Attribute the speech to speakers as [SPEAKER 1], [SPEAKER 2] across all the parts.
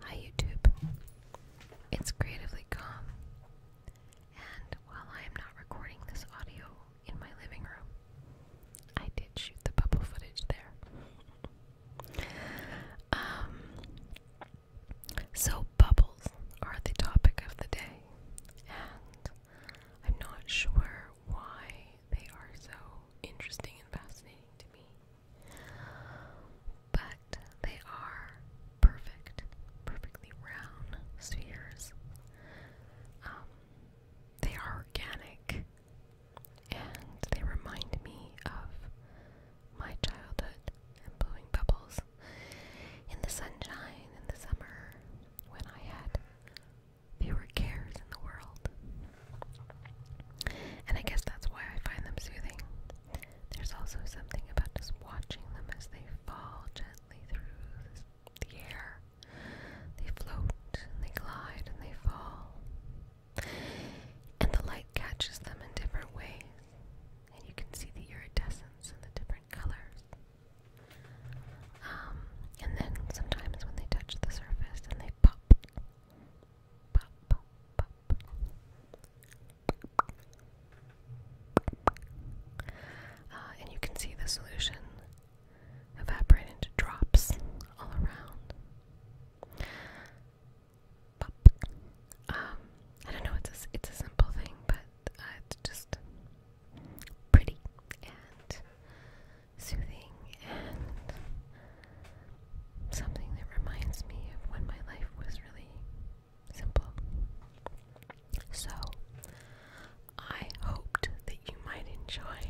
[SPEAKER 1] Hi YouTube. It's Creatively Calm, and while I am not recording this audio in my living room, I did shoot the bubble footage there. Um, so, bubbles are the topic of the day, and I'm not sure why they are so interesting and fascinating to me. But they are perfect, perfectly round spheres. Um, they are organic and they remind me of my childhood and blowing bubbles in the sunshine in the summer when I had fewer cares in the world. And I guess that's why I find them soothing. There's also something about just watching them as they fall gently through the air. They float and they glide and they fall. And the light catches them in different ways. And you can see the iridescence and the different colors. Um, and then sometimes when they touch the surface and they pop, uh, and you can see the solution evaporate into drops all around. Um, I don't know. It's a, it's a simple thing, but uh, it's just pretty and soothing something that reminds me of when my life was really simple. So, I hoped that you might enjoy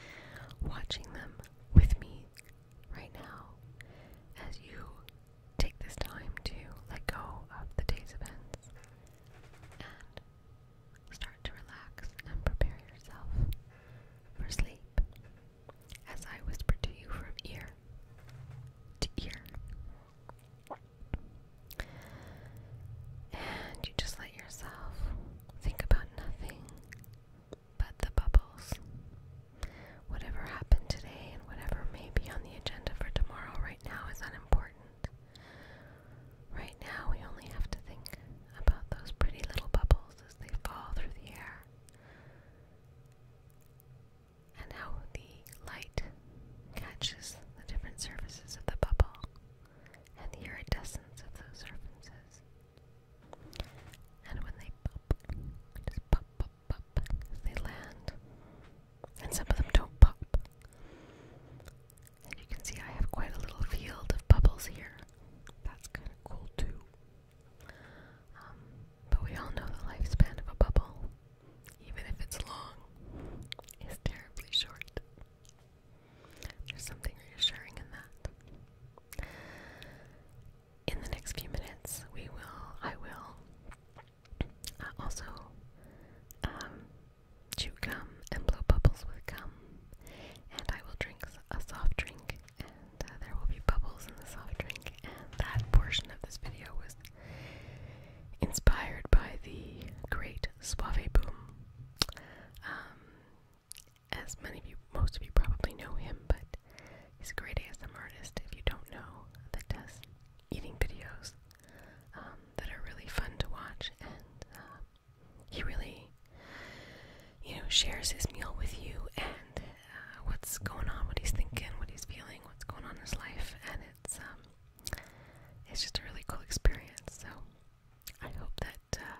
[SPEAKER 1] watching them with me right now as you take this time to let go of the day's events and start to relax and prepare yourself for sleep as I whisper to you from ear to ear. And you just let yourself think about nothing but the bubbles. Whatever happened today and whatever may be on the agenda for tomorrow right now is unimportant. Right now, we only have to think about those pretty little bubbles as they fall through the air and how the light catches the different surfaces of the bubble and the iridescence of those surfaces. And when they pop, just pop, pop, pop, they land. And some of them don't pop. And you can see I have quite a little field of bubbles here. That's kind of cool too. Um, but we all know the lifespan of a bubble, even if it's long, is terribly short. There's something reassuring in that. In the next few minutes, we will, I will uh, also um, chew gum and blow bubbles with gum, and I will drink a soft drink and there will be bubbles in the soft drink. And that portion of this video was inspired by the great Suave Boom. Um, as many of you, most of you probably know him, but he's a great ASM artist. If you don't know, that does eating videos um, that are really fun to watch, and uh, he really, you know, shares his meal with you and what's going on, what he's thinking, what he's feeling, what's going on in his life, and it's um, it's just a really cool experience. So I hope that uh,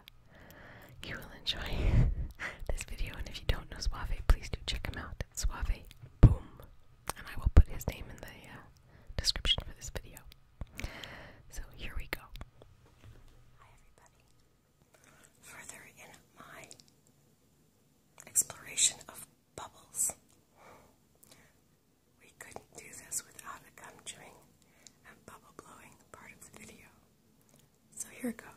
[SPEAKER 1] you will enjoy this video. And if you don't know Suave, please do check him out. It's Suave Boom, and I will put his name in the uh, description for this video. So here we go. Hi everybody further in my exploration of bubbles.
[SPEAKER 2] We couldn't do this without a gum chewing and bubble blowing part of the video. So here goes.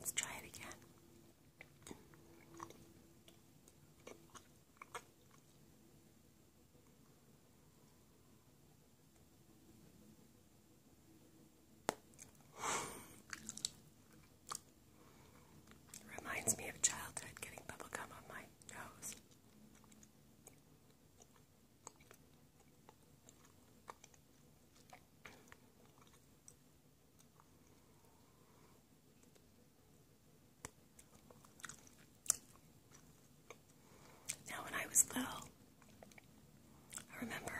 [SPEAKER 1] Let's try it again. Reminds me of childhood getting bubble gum on my nose. Now, when I was little, I remember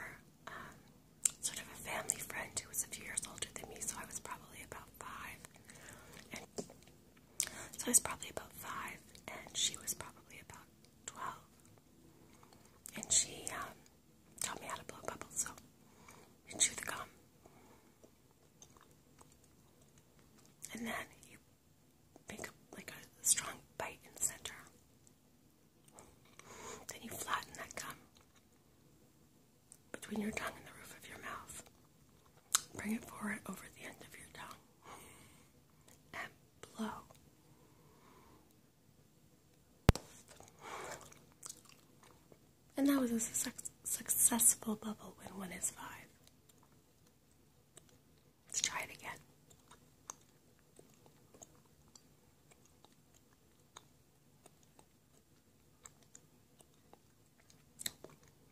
[SPEAKER 1] um, sort of a family friend who was a few years older than me, so I was probably about five, and so I was probably about five, and she was probably about 12. And she um, taught me how to blow bubbles, so you chew the gum. And then you make like a strong bite in the center. Then you flatten that gum between your tongue and the roof of your mouth. Bring it forward over the end of your tongue and blow.
[SPEAKER 2] And that was a successful bubble when one is five.
[SPEAKER 1] Let's try it again.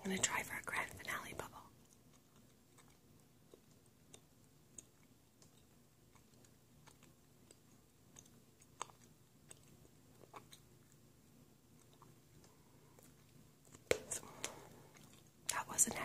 [SPEAKER 1] I'm going to try for a grand finale bubble. That wasn't it.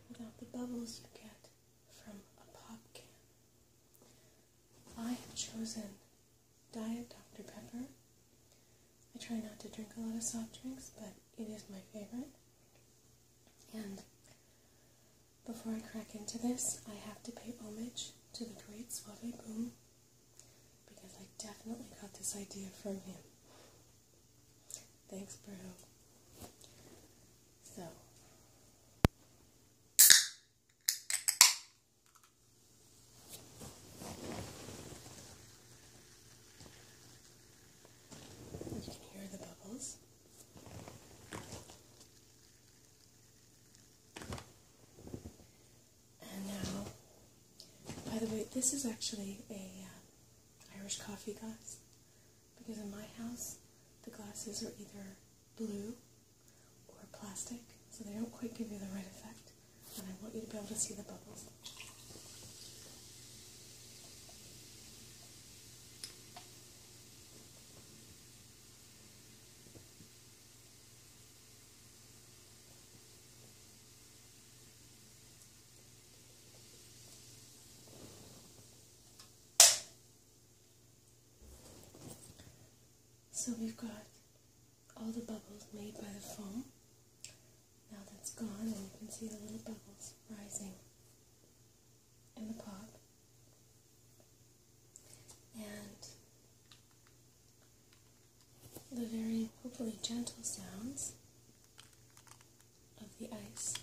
[SPEAKER 2] without the bubbles you get from a pop can. I have chosen Diet Dr. Pepper. I try not to drink a lot of soft drinks, but it is my favorite. And before I crack into this, I have to pay homage to the great Suave Boom because I definitely got this idea from him. Thanks, bro. So. You can hear the bubbles. And now, by the way, this is actually a uh, Irish coffee, guys because in my house the glasses are either blue or plastic, so they don't quite give you the right effect, and I want you to be able to see the bubbles. So we've got all the bubbles made by the foam. Now that's gone, and you can see the little bubbles rising in the pot. And the very, hopefully, gentle sounds of the ice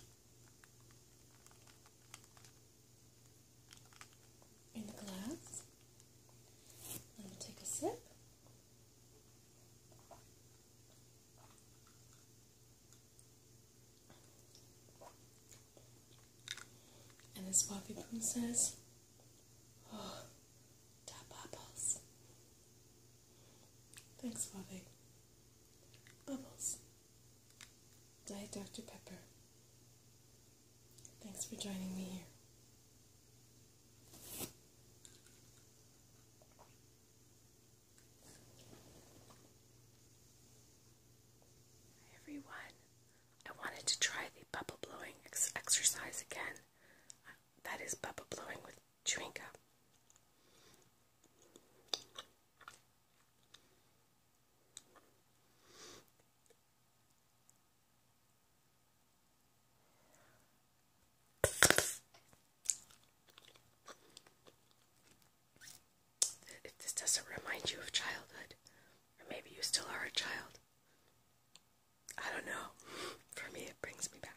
[SPEAKER 2] in the glass. Let me take a sip. And this coffee spoon says, Oh, the bubbles. Thanks, Bobby. Bubbles. Diet Dr. Pepper. Thanks for joining me here.
[SPEAKER 1] Hi everyone. I wanted to try the bubble blowing exercise again. that is bubble blowing with chewing if this doesn't remind you of childhood, or maybe you still are a child, I don't know. For me, it brings me back.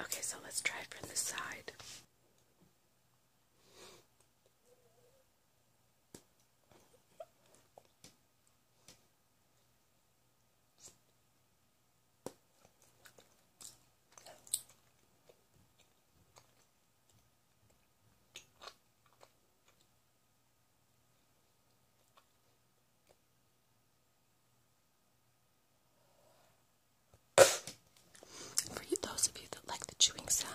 [SPEAKER 1] Okay, so let's try it from this side. For you, those of you that like the chewing sounds,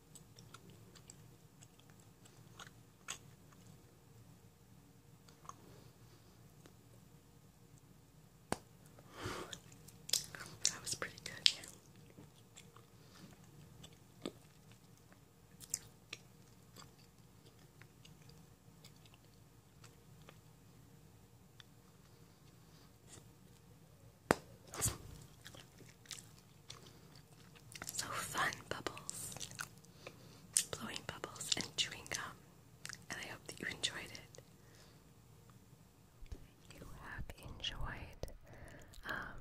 [SPEAKER 1] That was pretty good. So fun, bubbles. Blowing bubbles and chewing gum. And I hope that you enjoyed it. You have enjoyed um,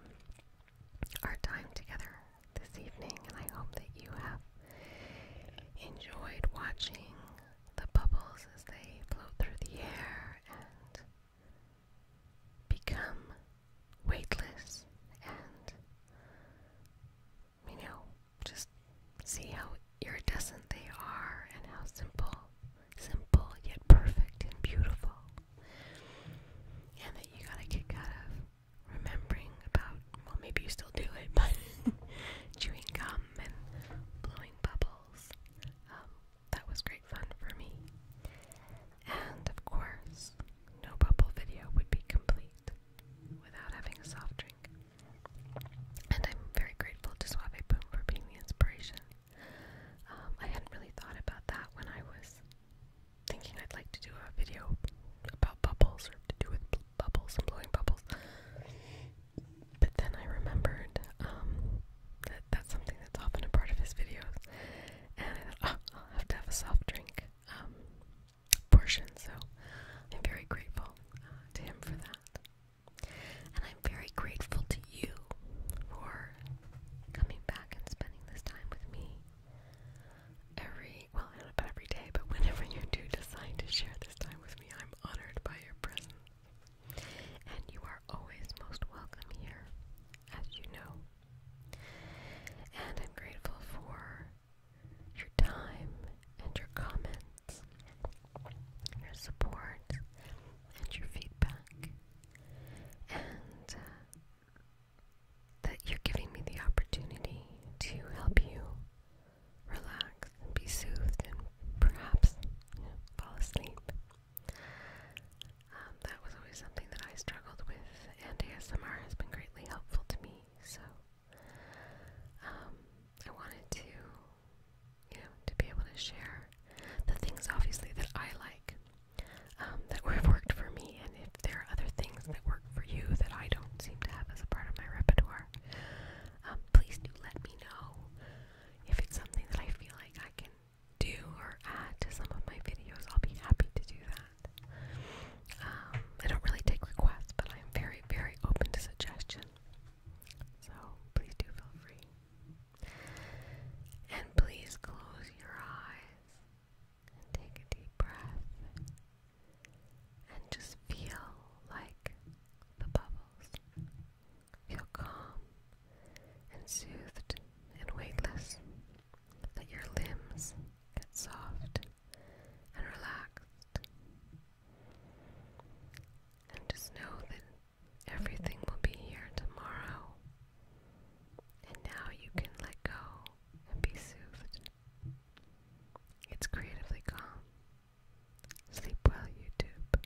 [SPEAKER 1] our time together this evening, and I hope that you have enjoyed watching the bubbles as they float through the air and become weightless and, you know, just see how iridescent they are and how simple, simple yet perfect and beautiful. And that you got a kick out of remembering about, well, maybe you still do it, but chewing gum and blowing bubbles. Um, that was great fun for me. And of course, no bubble video would be complete without having a soft drink. And I'm very grateful to Suave Boom for being the inspiration. Um, I hadn't really thought about that when I was thinking I'd like to do a video about bubbles or to do with bubbles and blowing bubbles. But then I remembered um, that that's something that's often a part of his videos, and I thought, oh, I'll have to have a soft drink um, portion. So I'm very grateful uh, to him for that, and I'm very grateful to you for coming back and spending this time with
[SPEAKER 2] me. Every well, I don't know about every day, but whenever you do decide to share this time with me, I'm honored by your presence.
[SPEAKER 1] And you are always most welcome here, as you know. And I'm grateful for your time and your comments, your support, and your feedback, and uh, that you're giving me the opportunity to help you relax and be soothed and perhaps fall asleep. Um, that was always something that I struggled with, and ASMR has been greatly helpful to me. So, um, I wanted to, you know, to be able to share the things obviously that I like, um, that have worked for me, and if there are other things that work for you that I don't seem to have as a part of my repertoire, um, please do let me know if it's something that I feel like I can do or add to some of my videos, I'll be happy to do that. Um, I don't really take requests, but I'm very, very open to suggestion. So please do feel free. And please close your eyes take a deep breath and just feel like the bubbles. Feel calm and soothed and weightless that your limbs get soft and relaxed. And just know that everything will be here tomorrow. And now you can let go and be soothed. It's creatively calm. Sleep well, YouTube.